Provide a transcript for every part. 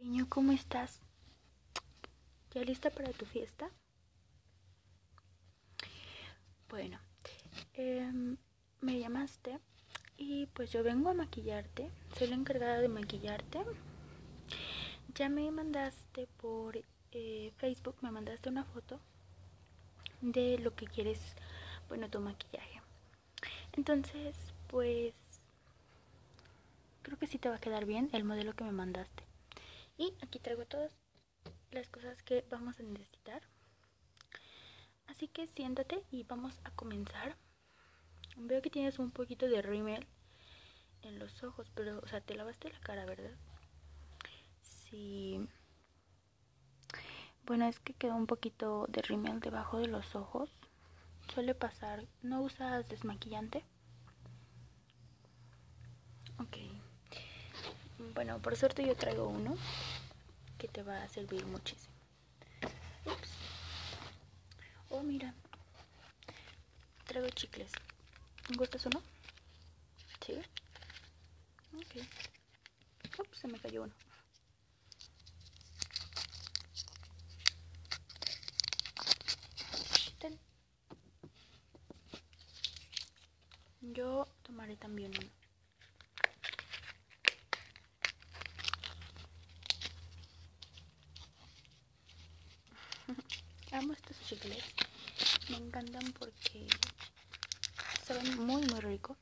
Niño, ¿cómo estás? ¿Ya lista para tu fiesta? Bueno, em, me llamaste y pues yo vengo a maquillarte. Soy la encargada de maquillarte. Ya me mandaste por eh, Facebook, me mandaste una foto de lo que quieres, bueno, tu maquillaje. Entonces, pues Creo que sí te va a quedar bien el modelo que me mandaste. Y aquí traigo todas las cosas que vamos a necesitar. Así que siéntate y vamos a comenzar. Veo que tienes un poquito de rímel en los ojos, pero, o sea, te lavaste la cara, ¿verdad? Sí. Bueno, es que quedó un poquito de rímel debajo de los ojos. Suele pasar. ¿No usas desmaquillante? Ok. Bueno, por suerte yo traigo uno que te va a servir muchísimo. Ups. Oh, mira. Traigo chicles. ¿Gustas uno? Sí. Ok. se me cayó uno. Yo tomaré también uno. Amo estos chicles. Me encantan porque saben muy muy ricos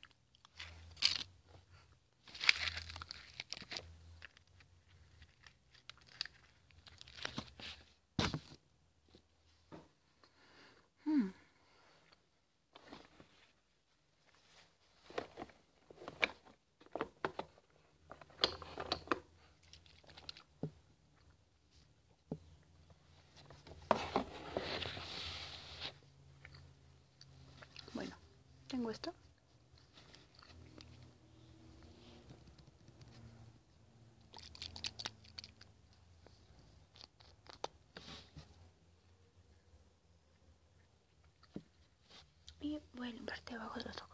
bueno, tengo esto. Y bueno a abajo de los ojos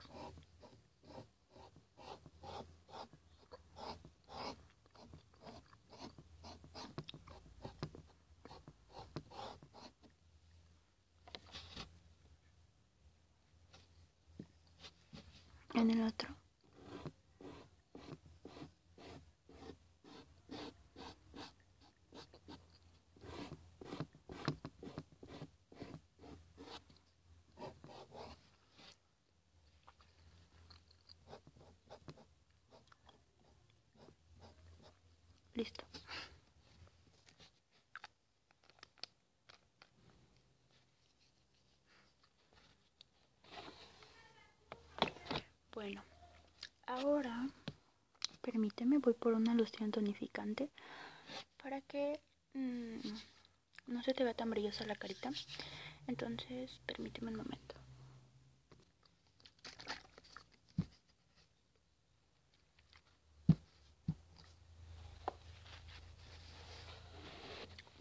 en el otro. Listo. Bueno, ahora permíteme, voy por una loción tonificante para que mm, no se te vea tan brillosa la carita. Entonces, permíteme un momento.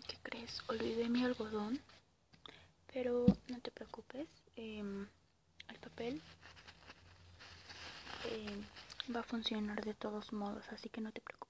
¿Qué crees? Olvidé mi algodón, pero no te preocupes, em, el papel em, va a funcionar de todos modos, así que no te preocupes.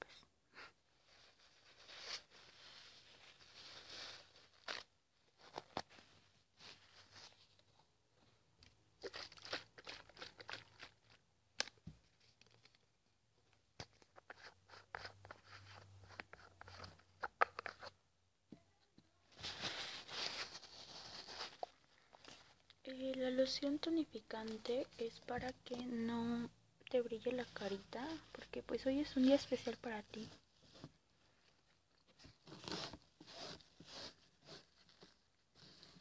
Eh, la loción tonificante es para que no te brille la carita, porque pues hoy es un día especial para ti.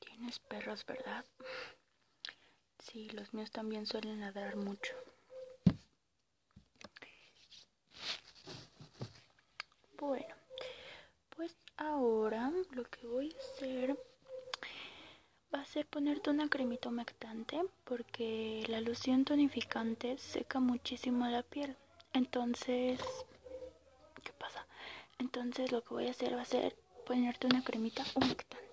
Tienes perros, ¿verdad? Sí, los míos también suelen nadar mucho. Bueno, pues ahora lo que voy a hacer va a ser ponerte una cremita humectante porque la loción tonificante seca muchísimo la piel. Entonces ¿Qué pasa? Entonces lo que voy a hacer va a ser ponerte una cremita humectante.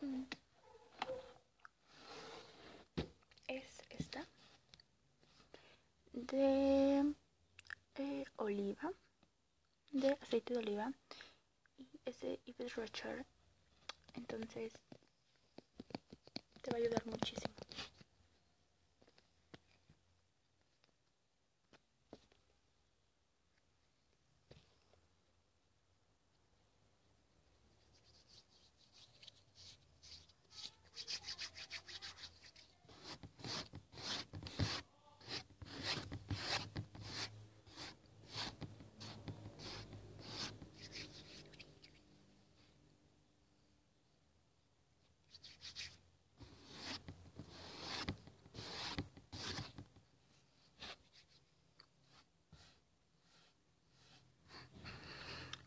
Mm. Es esta de eh, oliva, de aceite de oliva y ese Entonces te va a ayudar muchísimo.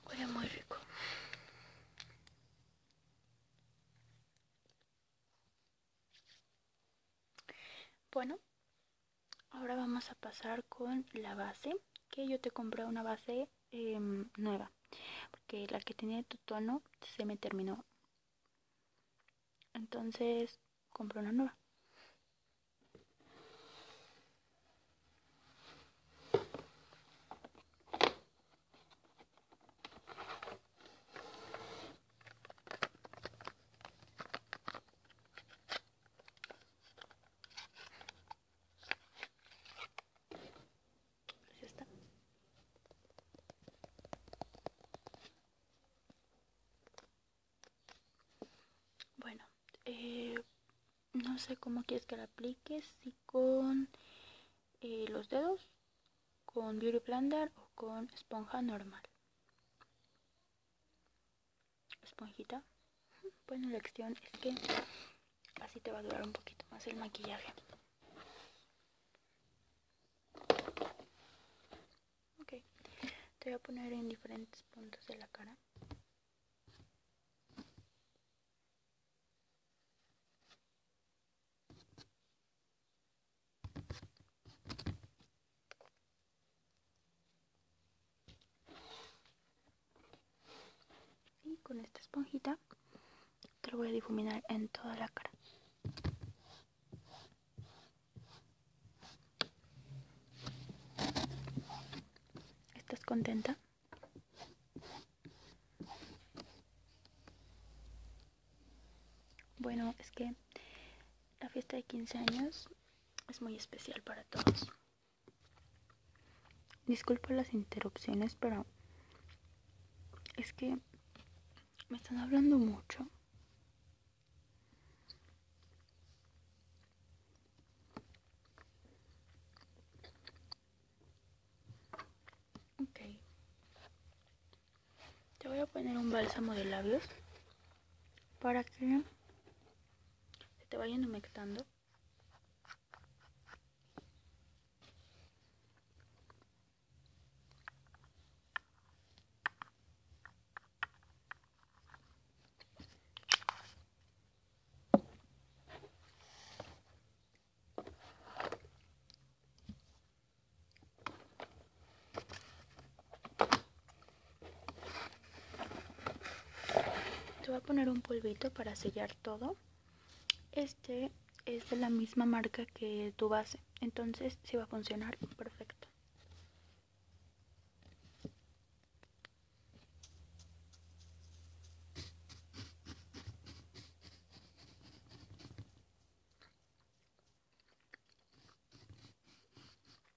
Huele muy rico. Bueno, ahora vamos a pasar con la base que yo te compré una base em, nueva porque la que tenía tu tono se me terminó entonces compré una nueva bueno, eh, no sé cómo quieres que la apliques, si con eh, los dedos, con Beauty plantar o con esponja normal esponjita. Bueno, la cuestión es que así te va a durar un poquito más el maquillaje. Ok, te voy a poner en diferentes puntos de la cara. Y con esta esponjita te lo voy a difuminar en toda la cara. ¿Estás contenta? Bueno, es que la fiesta de 15 años es muy especial para todos. Disculpa las interrupciones, pero es que me están hablando mucho. Ok. Te voy a poner un bálsamo de labios para que se te vayan humectando. Te voy a poner un polvito para sellar todo. Este es de la misma marca que tu base, entonces sí va a funcionar perfecto.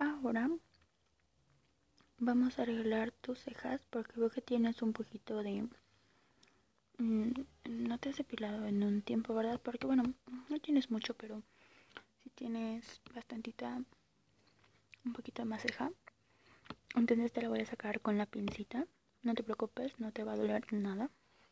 Ahora vamos a arreglar tus cejas porque veo que tienes un poquito de... Mm, no te has depilado en un tiempo, ¿verdad? Porque bueno, no tienes mucho, pero si tienes bastantita, un poquito más ceja. Entonces te la voy a sacar con la pincita. No te preocupes, no te va a doler nada.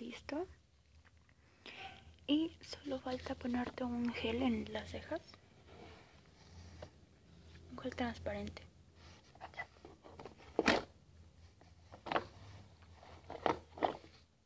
Listo. Y solo falta ponerte un gel en las cejas. Un gel transparente.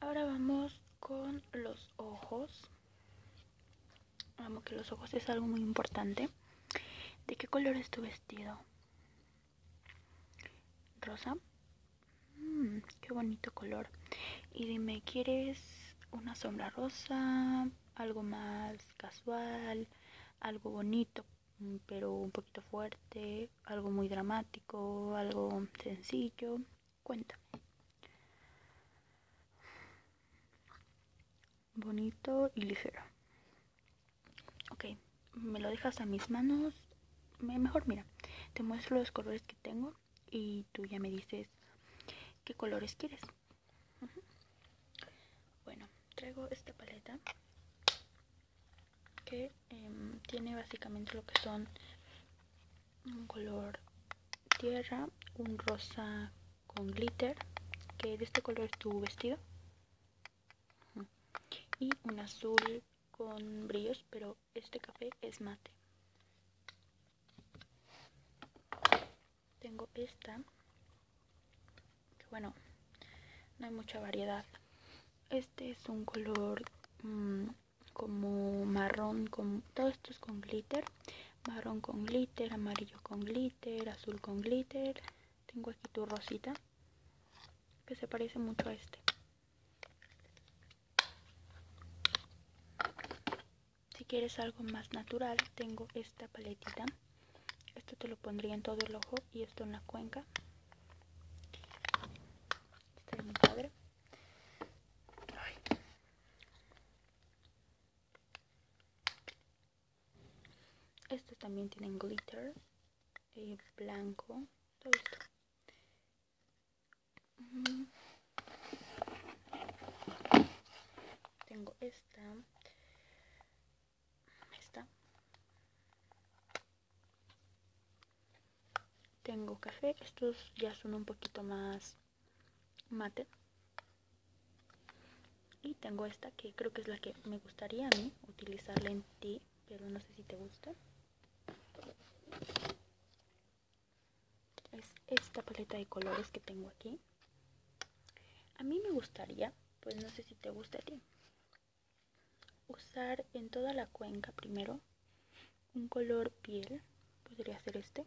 Ahora vamos con los ojos. Vamos que los ojos es algo muy importante. ¿De qué color es tu vestido? Rosa. Mm, qué bonito color. Y dime, ¿quieres una sombra rosa? Algo más casual, algo bonito, mm, pero un poquito fuerte, algo muy dramático, algo sencillo cuenta Bonito y ligero. Ok, me lo dejas a mis manos. Mejor mira, te muestro los colores que tengo y tú ya me dices qué colores quieres. Bueno, traigo esta paleta que em, tiene básicamente lo que son un color tierra, un rosa con glitter, que de este color tu vestido, y un azul con brillos, pero este café es mate. Tengo esta, que bueno, no hay mucha variedad. Este es un color mm, como marrón con todo esto es con glitter marrón con glitter amarillo con glitter azul con glitter tengo aquí tu rosita que se parece mucho a este si quieres algo más natural tengo esta paletita esto te lo pondría en todo el ojo y esto en la cuenca está muy padre estos también tienen glitter Y eh, blanco. Tengo esta. Esta. Tengo café. Estos ya son un poquito más mate y tengo esta que creo que es la que me gustaría a mí utilizarla en ti pero no sé si te gusta es esta paleta de colores que tengo aquí a mí me gustaría pues no sé si te gusta a ti usar en toda la cuenca primero un color piel podría ser este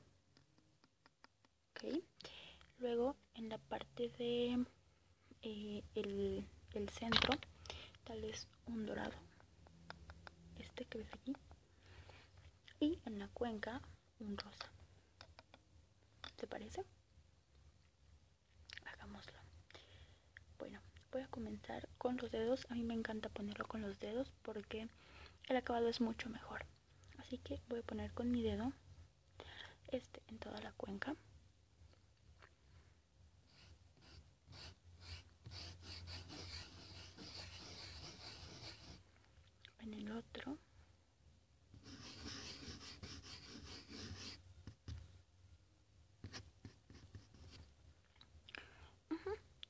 ¿Okay? Luego en la parte de eh, el, centro, tal vez un dorado, este que ves aquí, y en la cuenca un rosa. ¿Te parece? Hagámoslo. Bueno, voy a comenzar con los dedos. A mí me encanta ponerlo con los dedos porque el acabado es mucho mejor así que voy a poner con mi dedo este en toda la cuenca en el otro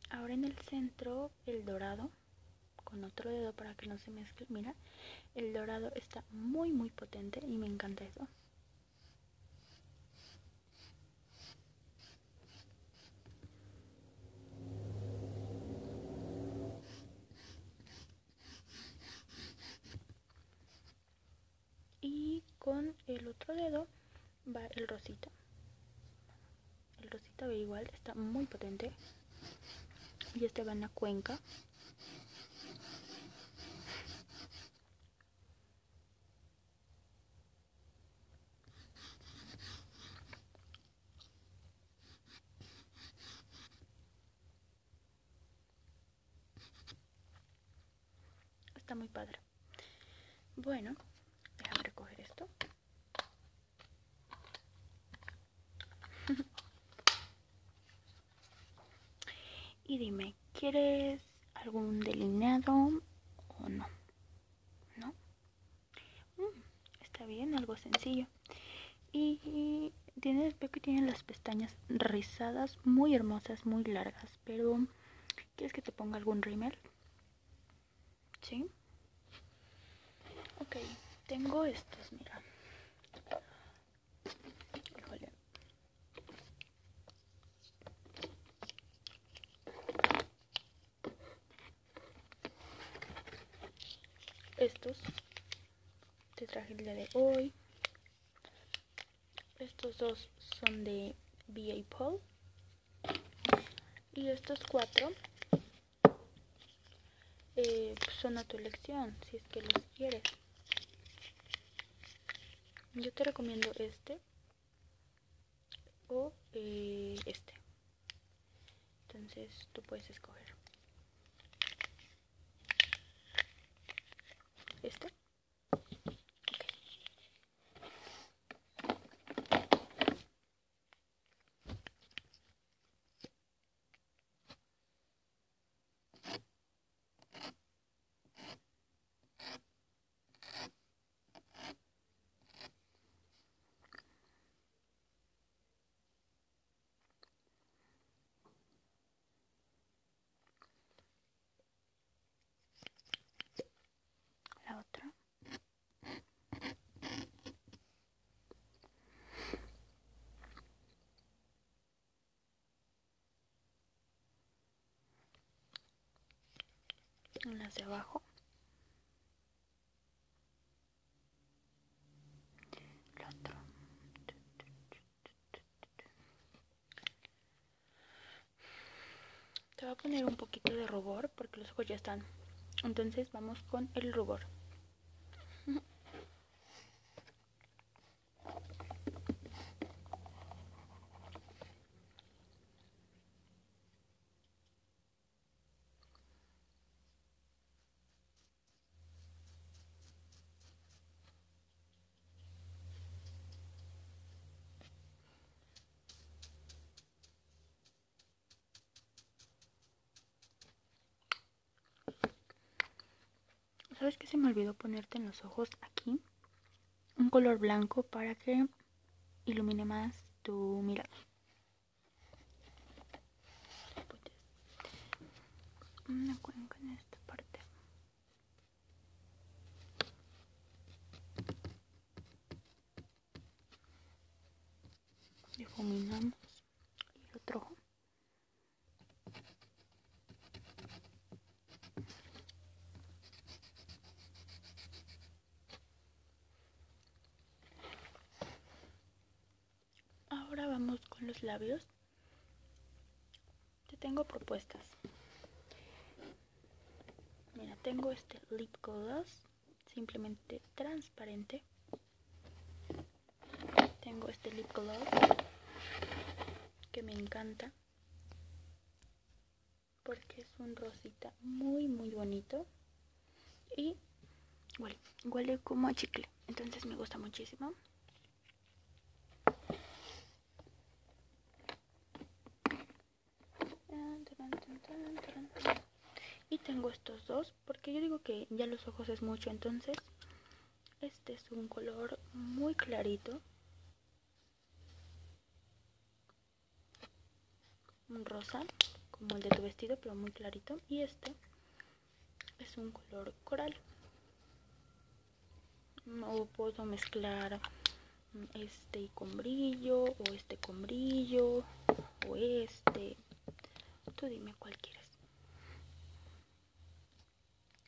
Ahora en el centro, el dorado, con otro dedo para que no se mezcle. Mira, el dorado está muy, muy potente y me encanta eso. Y con el otro dedo va el rosito el rosita igual está muy potente. Y este va en la cuenca. Está muy padre. Bueno, déjame recoger esto y dime, ¿quieres algún delineado o no? ¿No? Mm, está bien, algo sencillo. Y, que las pestañas rizadas, muy hermosas, muy largas, pero ¿quieres que te ponga algún rímel? ¿Sí? Ok, tengo estos, mira. Estos. Te traje el de hoy. Estos dos son de B.A. Paul. Y estos cuatro eh, pues, son a tu elección, si es que los quieres. Yo te recomiendo este o eh, este. Entonces tú puedes escoger. Este la otra una de abajo el otro te va a poner un poquito de rubor porque los ojos ya están. Entonces vamos con el rubor. ¿Sabes qué se me olvidó ponerte en los ojos aquí? Un color blanco para que ilumine más tu mirada. parte difuminamos el otro ahora vamos con los labios te tengo propuestas mira tengo este lip gloss simplemente transparente tengo este lip gloss que me encanta porque es un rosita muy muy bonito y huele, como a chicle entonces me gusta muchísimo y tengo estos dos, porque yo digo que ya los ojos es mucho, entonces este es un color muy clarito. Un rosa, como el de tu vestido, pero muy clarito. Y este es un color coral. No puedo mezclar este con brillo o este con brillo o este tú dime cuál quieres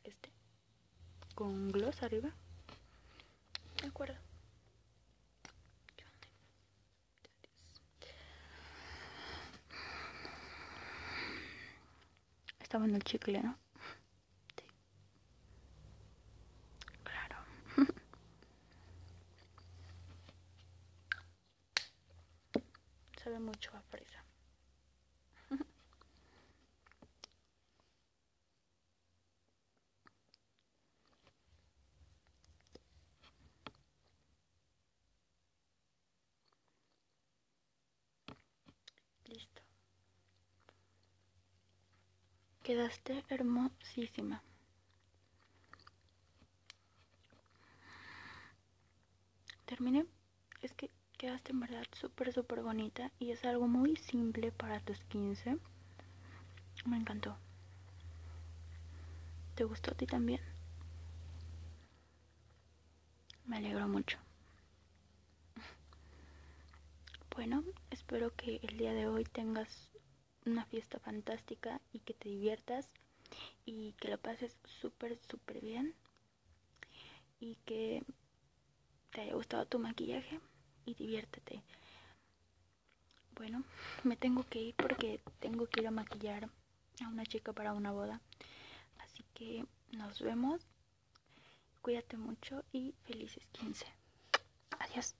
este con gloss arriba de acuerdo Estaba en el chicle no sí. claro Sabe mucho a fresa. Listo. Quedaste hermosísima. Terminé. Es que quedaste en verdad súper, súper bonita y es algo muy simple para tus 15. Me encantó. ¿Te gustó a ti también? Me alegro mucho. Bueno, espero que el día de hoy tengas una fiesta fantástica y que te diviertas y que lo pases súper, súper bien y que te haya gustado tu maquillaje y diviértete. Bueno, me tengo que ir porque tengo que ir a maquillar a una chica para una boda. Así que nos vemos. Cuídate mucho y felices 15. Adiós.